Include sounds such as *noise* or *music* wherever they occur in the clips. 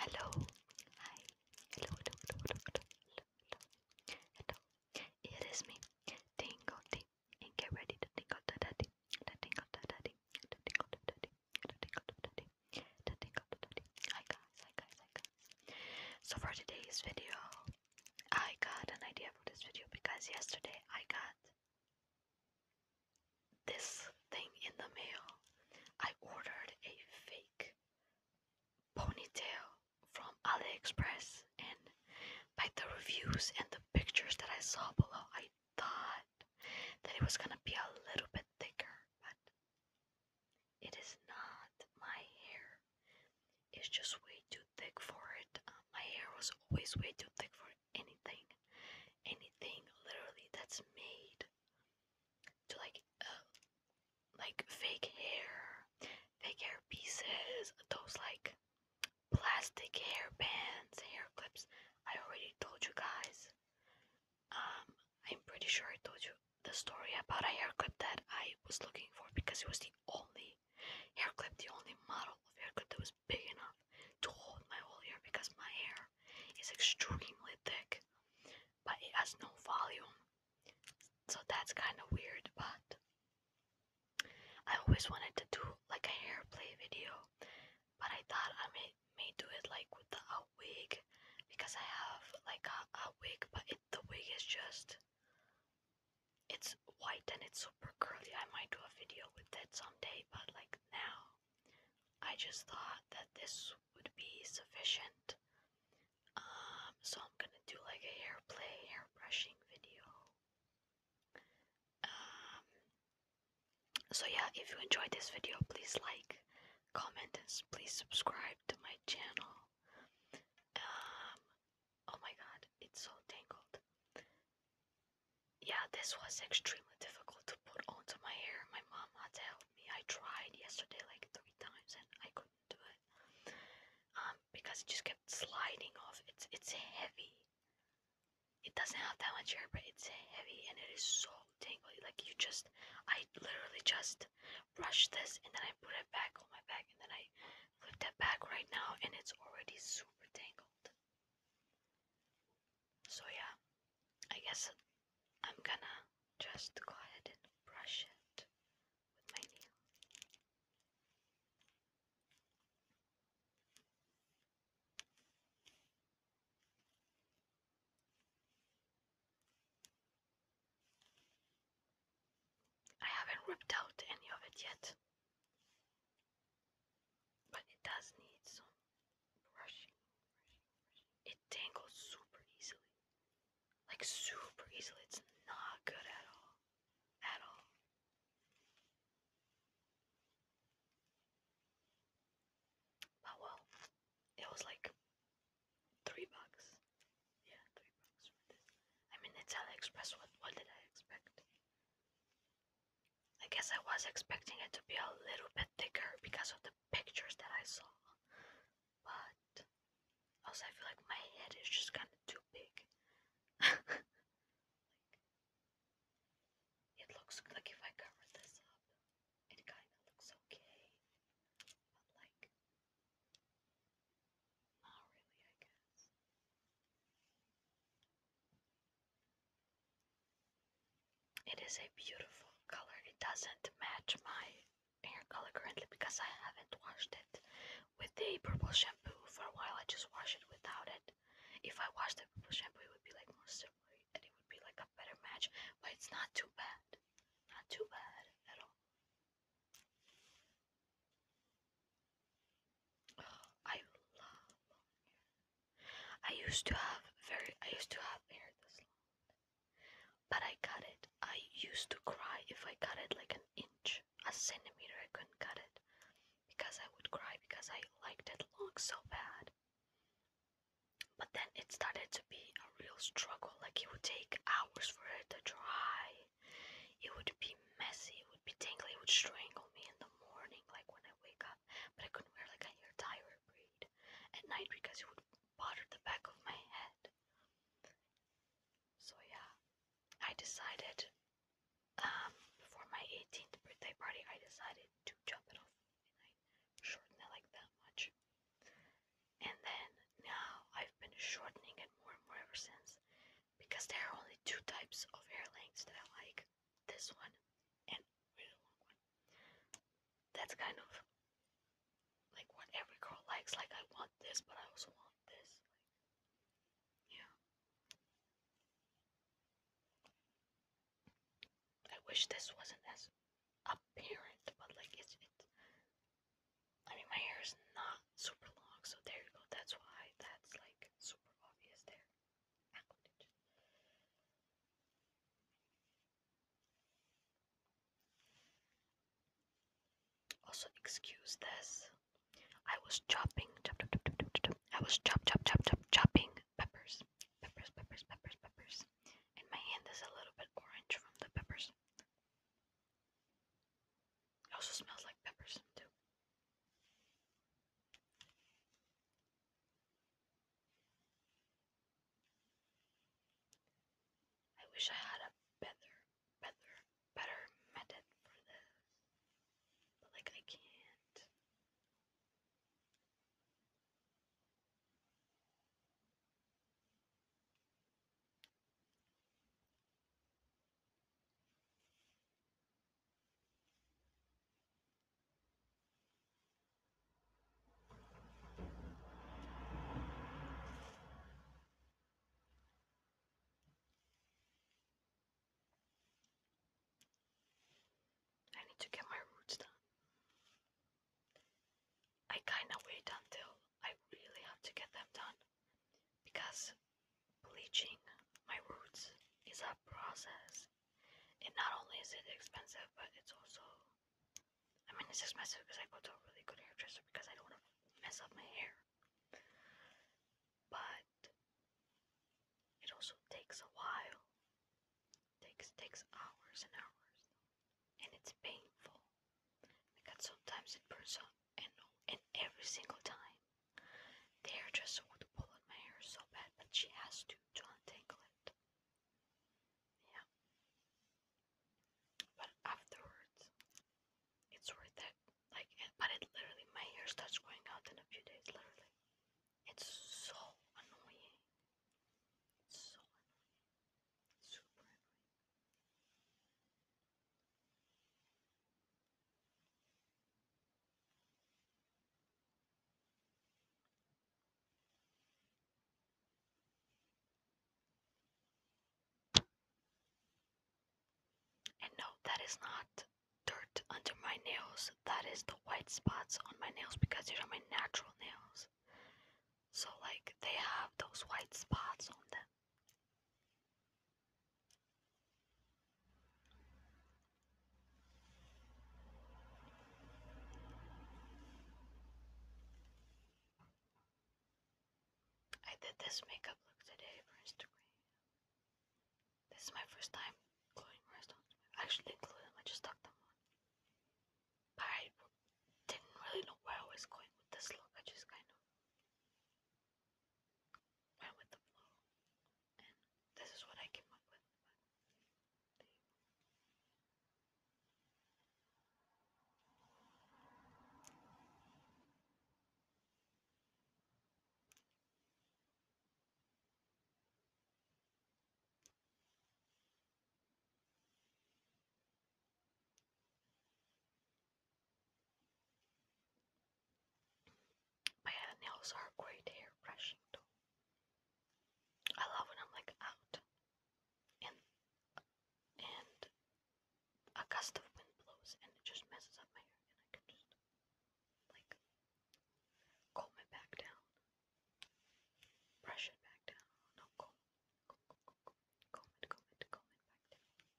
Hello. Hi. Hello, hello, hello, It is me, Tingle T. And get ready to tingle the daddy. To tingle the daddy. To tingle the tingle the tingle the So for today's video, I got an idea for this video because yesterday I got this thing in the mail. I ordered a fake ponytail from AliExpress, and by the reviews and the pictures that I saw below, I thought that it was gonna be a little bit thicker, but it is not. My hair is just way too thick for it. Uh, my hair was always way too thick for it anything, anything literally that's made to like, uh, like fake hair, fake hair pieces, those like plastic hair bands, hair clips. I already told you guys. Um, I'm pretty sure I told you the story about a hair clip that I was looking for because it was the only hair clip, the only model of hair clip that was big enough to hold my whole ear because my hair is extremely thick, but it has no volume. So that's kind of weird, but I always wanted to do like a hair play video, but I thought I may, may do it like with a wig because I have like a, a wig, but it, the wig is just it's white and it's super curly. I might do a video with it someday, but like now I just thought that this would be sufficient. Um, so I'm gonna do like a hair play, hair brushing video. Um, so yeah, if you enjoyed this video, please like, comment, and please subscribe to my channel. Um, oh my god, it's so tangled. Yeah, this was extremely difficult to put onto my hair. My mom had to help me. I tried yesterday like three times and I couldn't do it. Um, because it just kept sliding off. It's it's heavy. It doesn't have that much hair, but it's heavy and it is so tangly. Like you just, I literally just brushed this and then I put it back on my back and then I flip it back right now and it's already super tangled. So yeah, I guess I'm gonna just go ahead and brush it with my nail. I haven't ripped out any of it yet. But it does need some brushing. It tangles super easily. Like super easily. It's not good at all. At all. But well, it was like three bucks. Yeah, three bucks I mean, it's AliExpress. What, what did I expect? I guess I was expecting it to be a little bit thicker because of the pictures that I saw. But also I feel like my head is just kind of too big. *laughs* it looks like if I cover this up, it kind of looks okay. But like not really, I guess. It is a beautiful color. It doesn't match my hair color currently because I haven't washed it with a purple shampoo for a while. I just washed it without it. If I washed the purple shampoo, it would be like more silvery and it would be like a better match. But it's not too bad. Not too bad at all. I love I used to have very I used to have hair this long. But I cut it. I used to cry if I cut it like an inch. A centimeter I couldn't cut it. Because I would cry because I liked it long so bad. But then it started to be a real struggle. Like it would take hours for it to dry. It would be messy, it would be tangly. it would strangle me in the morning, like when I wake up but I couldn't wear like a hair tie or a braid at night because it would bother the back of my head. So yeah, I decided um, before my 18th birthday party, I decided to chop it off and I shortened it like that much. And then now I've been shortening it more and more ever since because there are only two types of hair lengths that I like this one, and really long one. That's kind of like what every girl likes. Like I want this, but I also want this. yeah. I wish this wasn't as apparent, but like it's it's. I mean, my hair is not super long, so there you go. That's why that's like super obvious there. Also, excuse this. I was chopping, I was chop, chop, chop, chop, chopping peppers, peppers, peppers, peppers, peppers, and my hand is a little bit orange from the peppers. It also smells like peppers too. I wish I had a better, better, better method for this. But like I can't. I need to get my roots done. I kind of wait until I really have to get them done because bleaching my roots is a process. And not only is it expensive, but it's also, I mean, it's expensive because I go to a really good hairdresser because I don't want to mess up my hair. But it also takes a while. Takes takes hours and hours, and it's painful because sometimes it burns up, and and every single time the hairdresser would pull at my hair so bad that she has to to untangle it. Yeah. But afterwards, it's worth it. Like, but it literally, my hair starts growing out in a few days, literally. It's so annoying. It's so annoying. Super annoying. And no, that is not dirt under my nails. That is the white spots on my nails because these are my natural nails. So, like, they have those white spots on them. I did this makeup look today for Instagram. This is my first time gluing rhinestones. I actually didn't glue them, I just stuck them on. I didn't really know where I was going with this look, I just kind of went with the flow and this is what I came up with. My nails are great hair brushing too. I love when I'm like out and and a gust of wind blows and it just messes up my hair and I can just like comb it back down, brush it back down, no comb, comb, comb, comb, comb, it, comb it, comb it back down.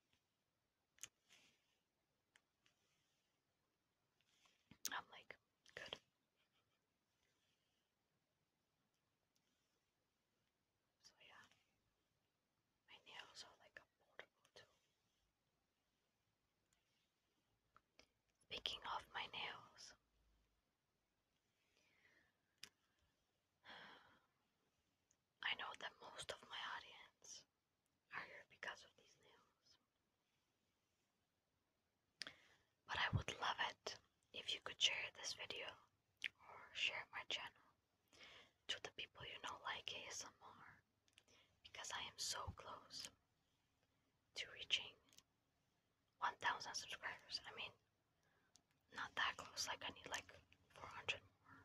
I'm like, good. So yeah, my nails are like a portable Speaking of my nails, *sighs* I know that most of my audience higher because of these nails. But I would love it if you could share this video or share my channel to the people you know like ASMR because I am so close to reaching 1000 subscribers. I mean, not that close, like I need like 400 more.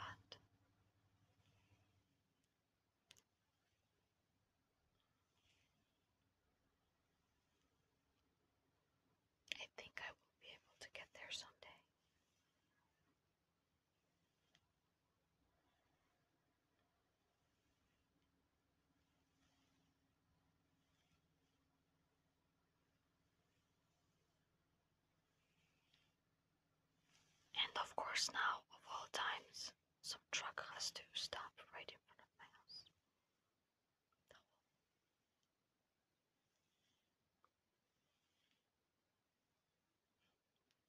But I think I will be able to get there someday. And of course, now, of all times, some truck has to stop right in front of my house.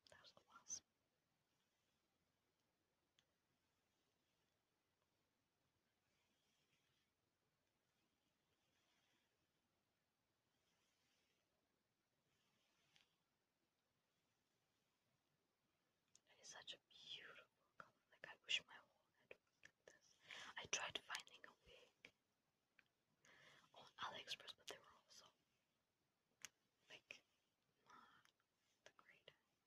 There's a wasp. It is such a beautiful color. Like I wish my wall had one like this. I tried finding a wig on AliExpress, but they were also like not the greatest.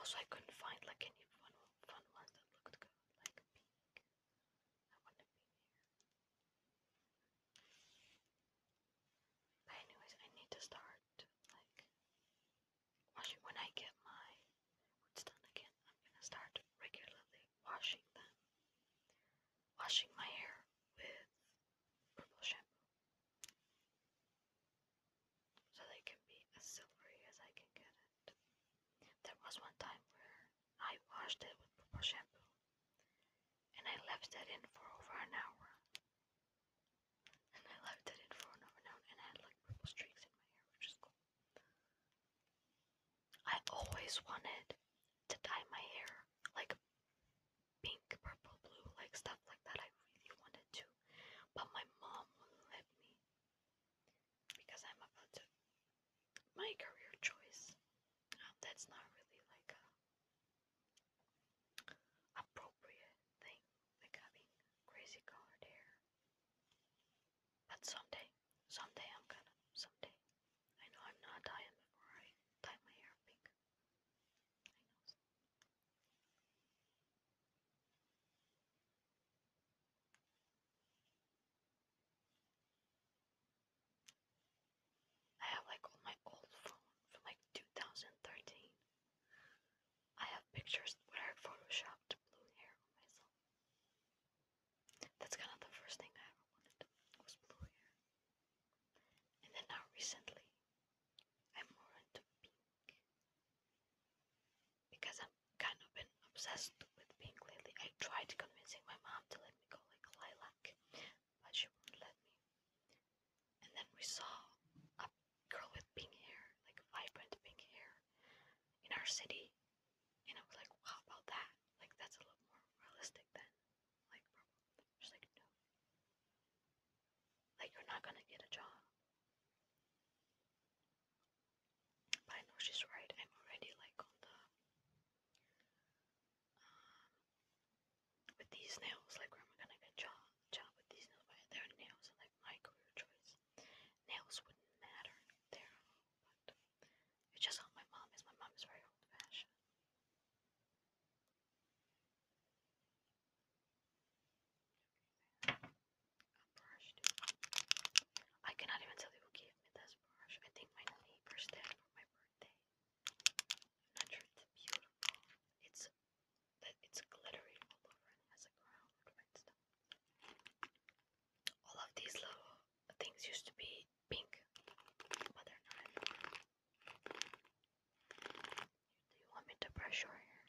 Also, I couldn't find like any fun fun ones that looked good, like I But anyways, I need to start like washing when I get my roots done again. I'm gonna start regularly washing them, washing my hair with purple shampoo, so they can be as silvery as I can get it there was one time where I washed it with purple shampoo and I left that in for over an hour. And I left it in for over an hour and I had like purple streaks in my hair, which is cool. I always wanted to dye my hair like pink, purple, blue, like stuff like that. I really wanted to, but my mom wouldn't let me because I'm about to my career choice. Uh, that's not really like a appropriate thing, like having crazy colored hair. But someday, someday I'm gonna, someday. I know I'm not dying before I dye my hair pink. I have like all my old phone from like 2013. I have pictures where I photoshopped blue hair on myself. That's kind of the first thing I ever wanted was blue hair. And then now recently, I'm more into pink because I'm kind of been obsessed with pink lately. I tried convincing my mom to let me go like a lilac, but she wouldn't let me. And then we saw a girl with pink hair, like vibrant pink hair, in our city. And I was like, well, how about that? Like, that's a little more realistic than, like, She's like, no. Like, you're not gonna get a job. But I know she's right. I'm already like on the um, with these nails. Like, where am I gonna get job job with these nails? their nails are like my career choice. Nails wouldn't matter. they but it's just how my mom is. My mom is very old fashioned a brush, dude. I cannot even tell you who gave me this brush. I think my neighbors did for my birthday. I'm not sure it's beautiful. It's it's glittery all over and has a ground and stuff. All of these little things used to be pink, but they're not Do you want me to brush your hair?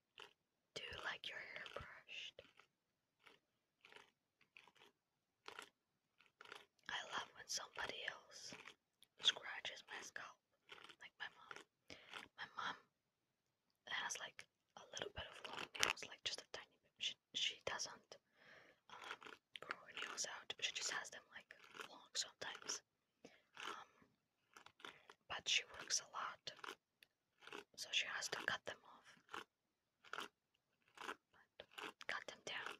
do you like your hair brushed? I love when somebody else scratches my scalp, like my mom. My mom has like a little bit of long nails, like just a tiny bit. She, she doesn't um, grow her nails out, she just has them like long sometimes. Um, but she works a lot, so she has to cut them off. cut them down.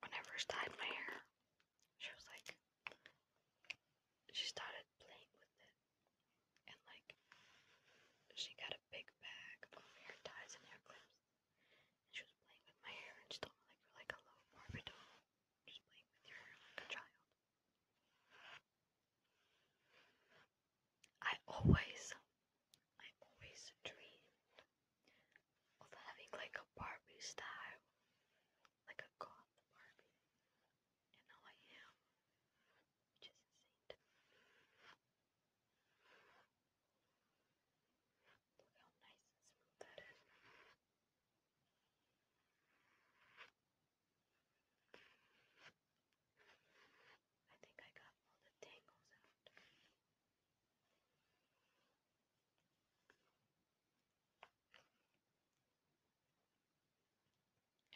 When I first my hair, she was like, she started playing with it, and like, she got a big bag of hair ties and hair clips, and she was playing with my hair, and she told me like, you like a little morbid just playing with your hair like a child. I always I always dreamed of having like a Barbie style, like a goth Barbie, and now I am, which insane. Look how nice and smooth that is. I think I got all the tangles out.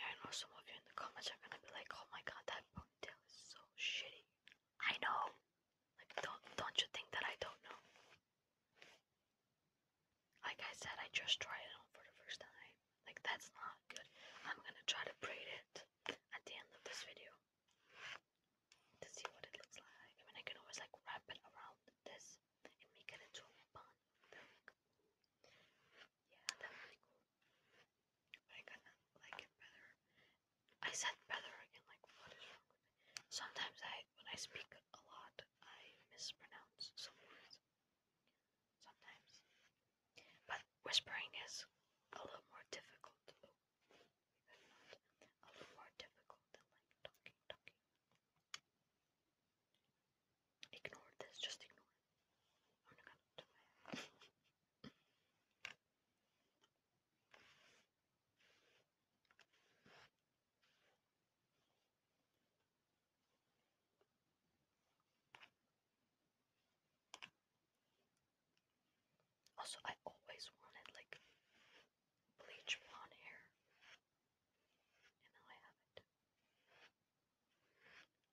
I know some of you in the comments are gonna be like, "Oh my god, that ponytail is so shitty." I know. Like, don't don't you think that I don't know? Like I said, I just tried it on for the first time. Like that's not good. I'm gonna try to braid it at the end of this video to see what it looks like. I mean, I can always like wrap it around this and make it into a bun. Yeah, that would cool. But I kind of like it better. I said better again. Like, what is wrong with me? Sometimes I, when I speak a lot, I mispronounce some words. Sometimes, but whispering is a little more difficult a little more difficult than like talking, talking. Ignore this, just ignore it. I'm not gonna do it. Also, I always wanted like bleach blonde hair, and I have it.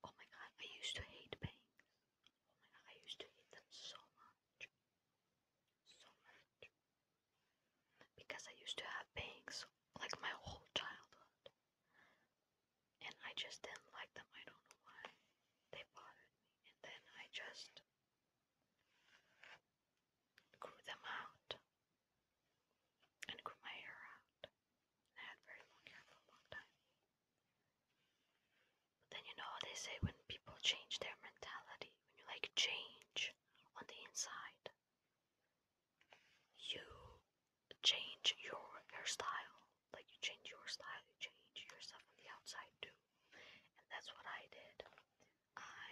Oh my god, I used to hate bangs. Oh my god, I used to hate them so much. So much. Because I used to have bangs like my whole childhood. And I just didn't like them. I don't know why. They bothered and then I just grew them out and grew my hair out. I had very long hair for a long time. But then you know how they say when people change their mentality, when you like change on the inside, you change your hairstyle like you change your style, you change yourself on the outside too. And that's what I did. I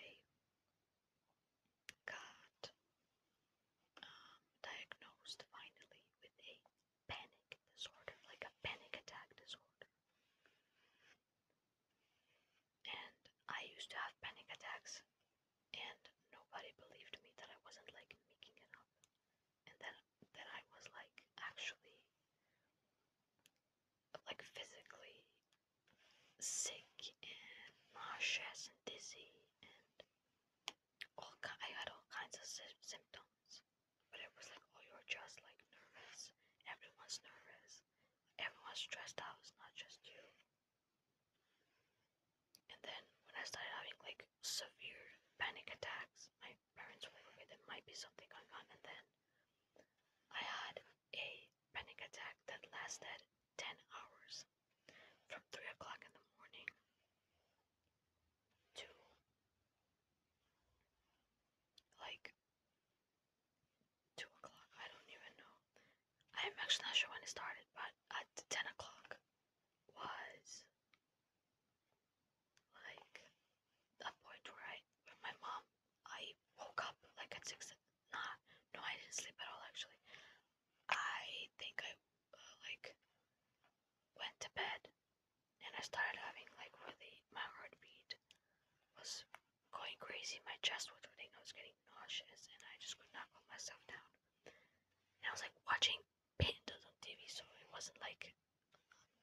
got um, diagnosed finally with a panic disorder, like a panic attack disorder. And I used to have panic attacks, and nobody believed me that I wasn't like making it up and then then I was like actually like physically sick and nauseous and dizzy and all I had all kinds of symptoms, but it was like oh you're just like nervous. Everyone's nervous. Everyone's stressed out. It's not just you. And then when I started having like severe panic attacks, my parents were like, okay, there might be something going on. And then I had a panic attack that lasted 10 hours from 3 o'clock in the morning to like 2 o'clock. I don't even know. I'm actually not sure when it started, but at 10 o'clock was like a point where I, where my mom, I woke up like at six. Nah, no, I didn't sleep at all. Actually, I think I uh, like went to bed, and I started having like really my heartbeat was going crazy. My chest was hurting. I was getting nauseous, and I just could not calm myself down. And I was like watching pandas on TV, so it wasn't like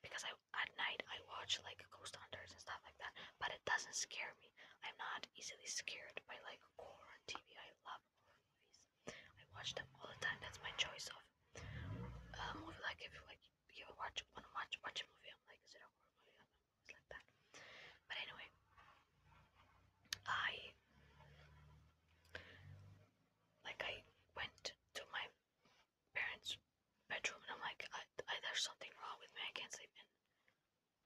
because I at night I watch like ghost hunters and stuff like that, but it doesn't scare me. I'm not easily scared by like horror on TV. I love horror movies. I watch them all the time. That's my choice of uh, movie. Like if you like you ever watch wanna watch watch a movie, I'm like, is it a horror movie? I'm always like that. But anyway, I like I went to my parents' bedroom, and I'm like, I, I, there's something wrong with me. I can't sleep. And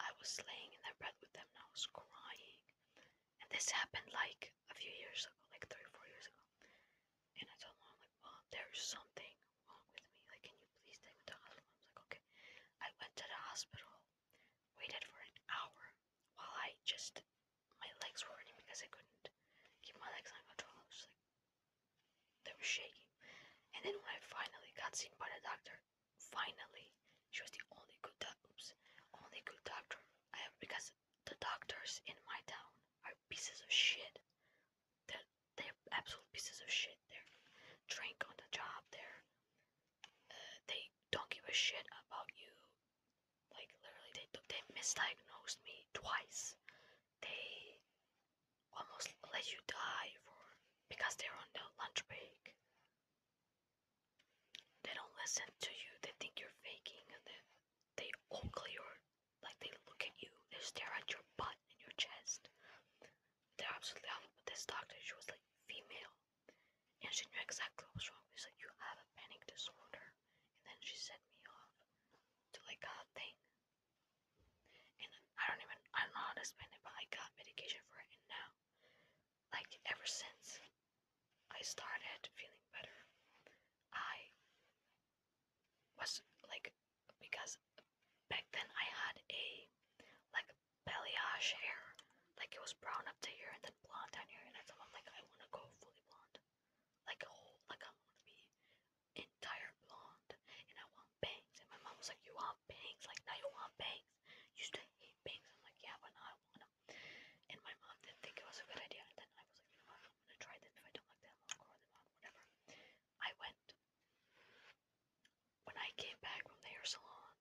I was laying in their bed with them, and I was crying. And this happened like a few years ago, like three or four years ago. And I told mom, like, mom, there's something wrong with me. Like, can you please take me to the hospital? Mom's like, okay. I went to the hospital, waited for an hour while I just my legs were hurting because I couldn't keep my legs on control. I was like, they were shaking. And then when I finally got seen by the doctor, finally, she was the only good oops, only good doctor I have because the doctors in my town are pieces of shit. They're they're absolute pieces of shit. They're drink on the job. They're uh, they don't give a shit about you. Like literally, they they misdiagnosed me twice. They almost let you die because they're on the lunch break. They don't listen to you. They think you're faking, and they ogle your like they look at you. They stare at your butt and your chest. They're absolutely awful. But this doctor, she was like female, and she knew exactly what was wrong. She's like, you have a panic disorder and then she sent me off to like a thing. And I don't even I don't know how to explain it, but I got medication for it, and now, like ever since I started feeling better, I was like because back then I had a like balayage hair, like it was brown up to here and then blonde down here, and I thought I'm like I want to go fully blonde like a whole, like I want to be entire blonde, and I want bangs. And my mom was like, "You want bangs? Like now you want bangs? You used to hate bangs." I'm like, "Yeah, but now I want them." And my mom didn't think it was a good idea. And then I was like, "You know what? I'm gonna try them. If I don't like them, I'll grow them out, whatever." I went. When I came back from the hair salon,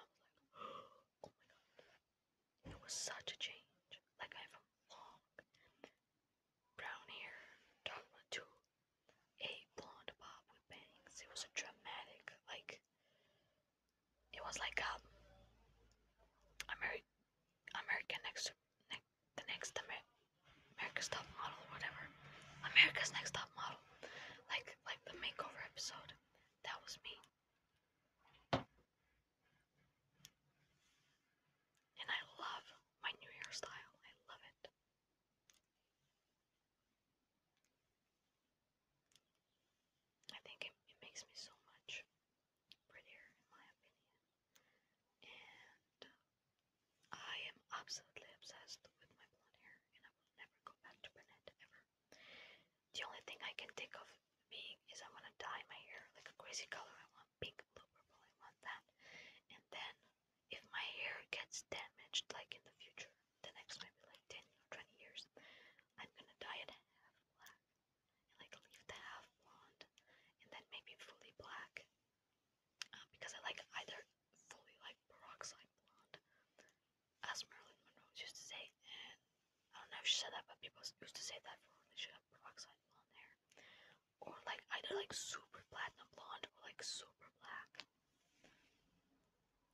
my mom was like, *gasps* "Oh my god, it was such a change. Like I have long brown hair, Dogma to a blonde bob with bangs. It was a dramatic, like it was like a um, Ameri American next ne the next Amer America's Top Model or whatever. America's Next Top Model. Like like the makeover episode. That was me. And I love my new hairstyle. I love it. I think it, makes me so much prettier, in my opinion. And I am absolutely obsessed with my blonde hair, and I will never go back to brunette ever. The only thing I can think of being is I want to dye my hair like a crazy color. I want pink, blue, purple, I want that. And then if my hair gets damaged, like in the future, the next maybe like 10 or 20 years, I'm gonna dye it half black and like leave the half blonde and then maybe fully black. Uh, because I like either fully like peroxide blonde, as Marilyn Monroe used to say, and I don't know if she said that, but people used to say that for like she got peroxide blonde hair, or like either like super platinum blonde or like super black.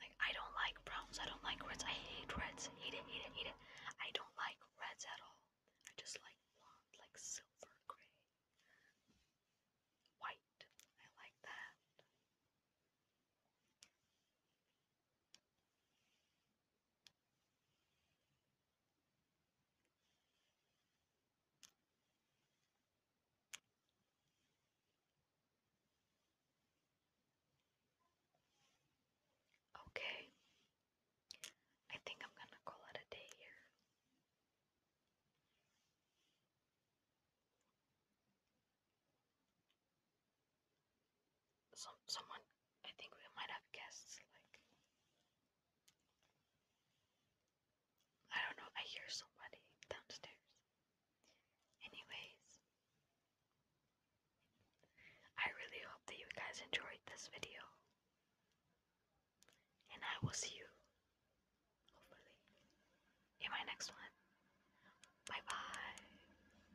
Like I don't like browns. I don't like reds. I hate reds. Hate it. Hate it. Hate it. I don't like reds at all. I just like blonde, like silver gray, white. I like that. Okay, I think I'm going to call it a day here some someone I think we might have guests like I don't know, I hear somebody downstairs. Anyways, I really hope that you guys enjoyed this video. And I will see you hopefully in my next one. Bye bye.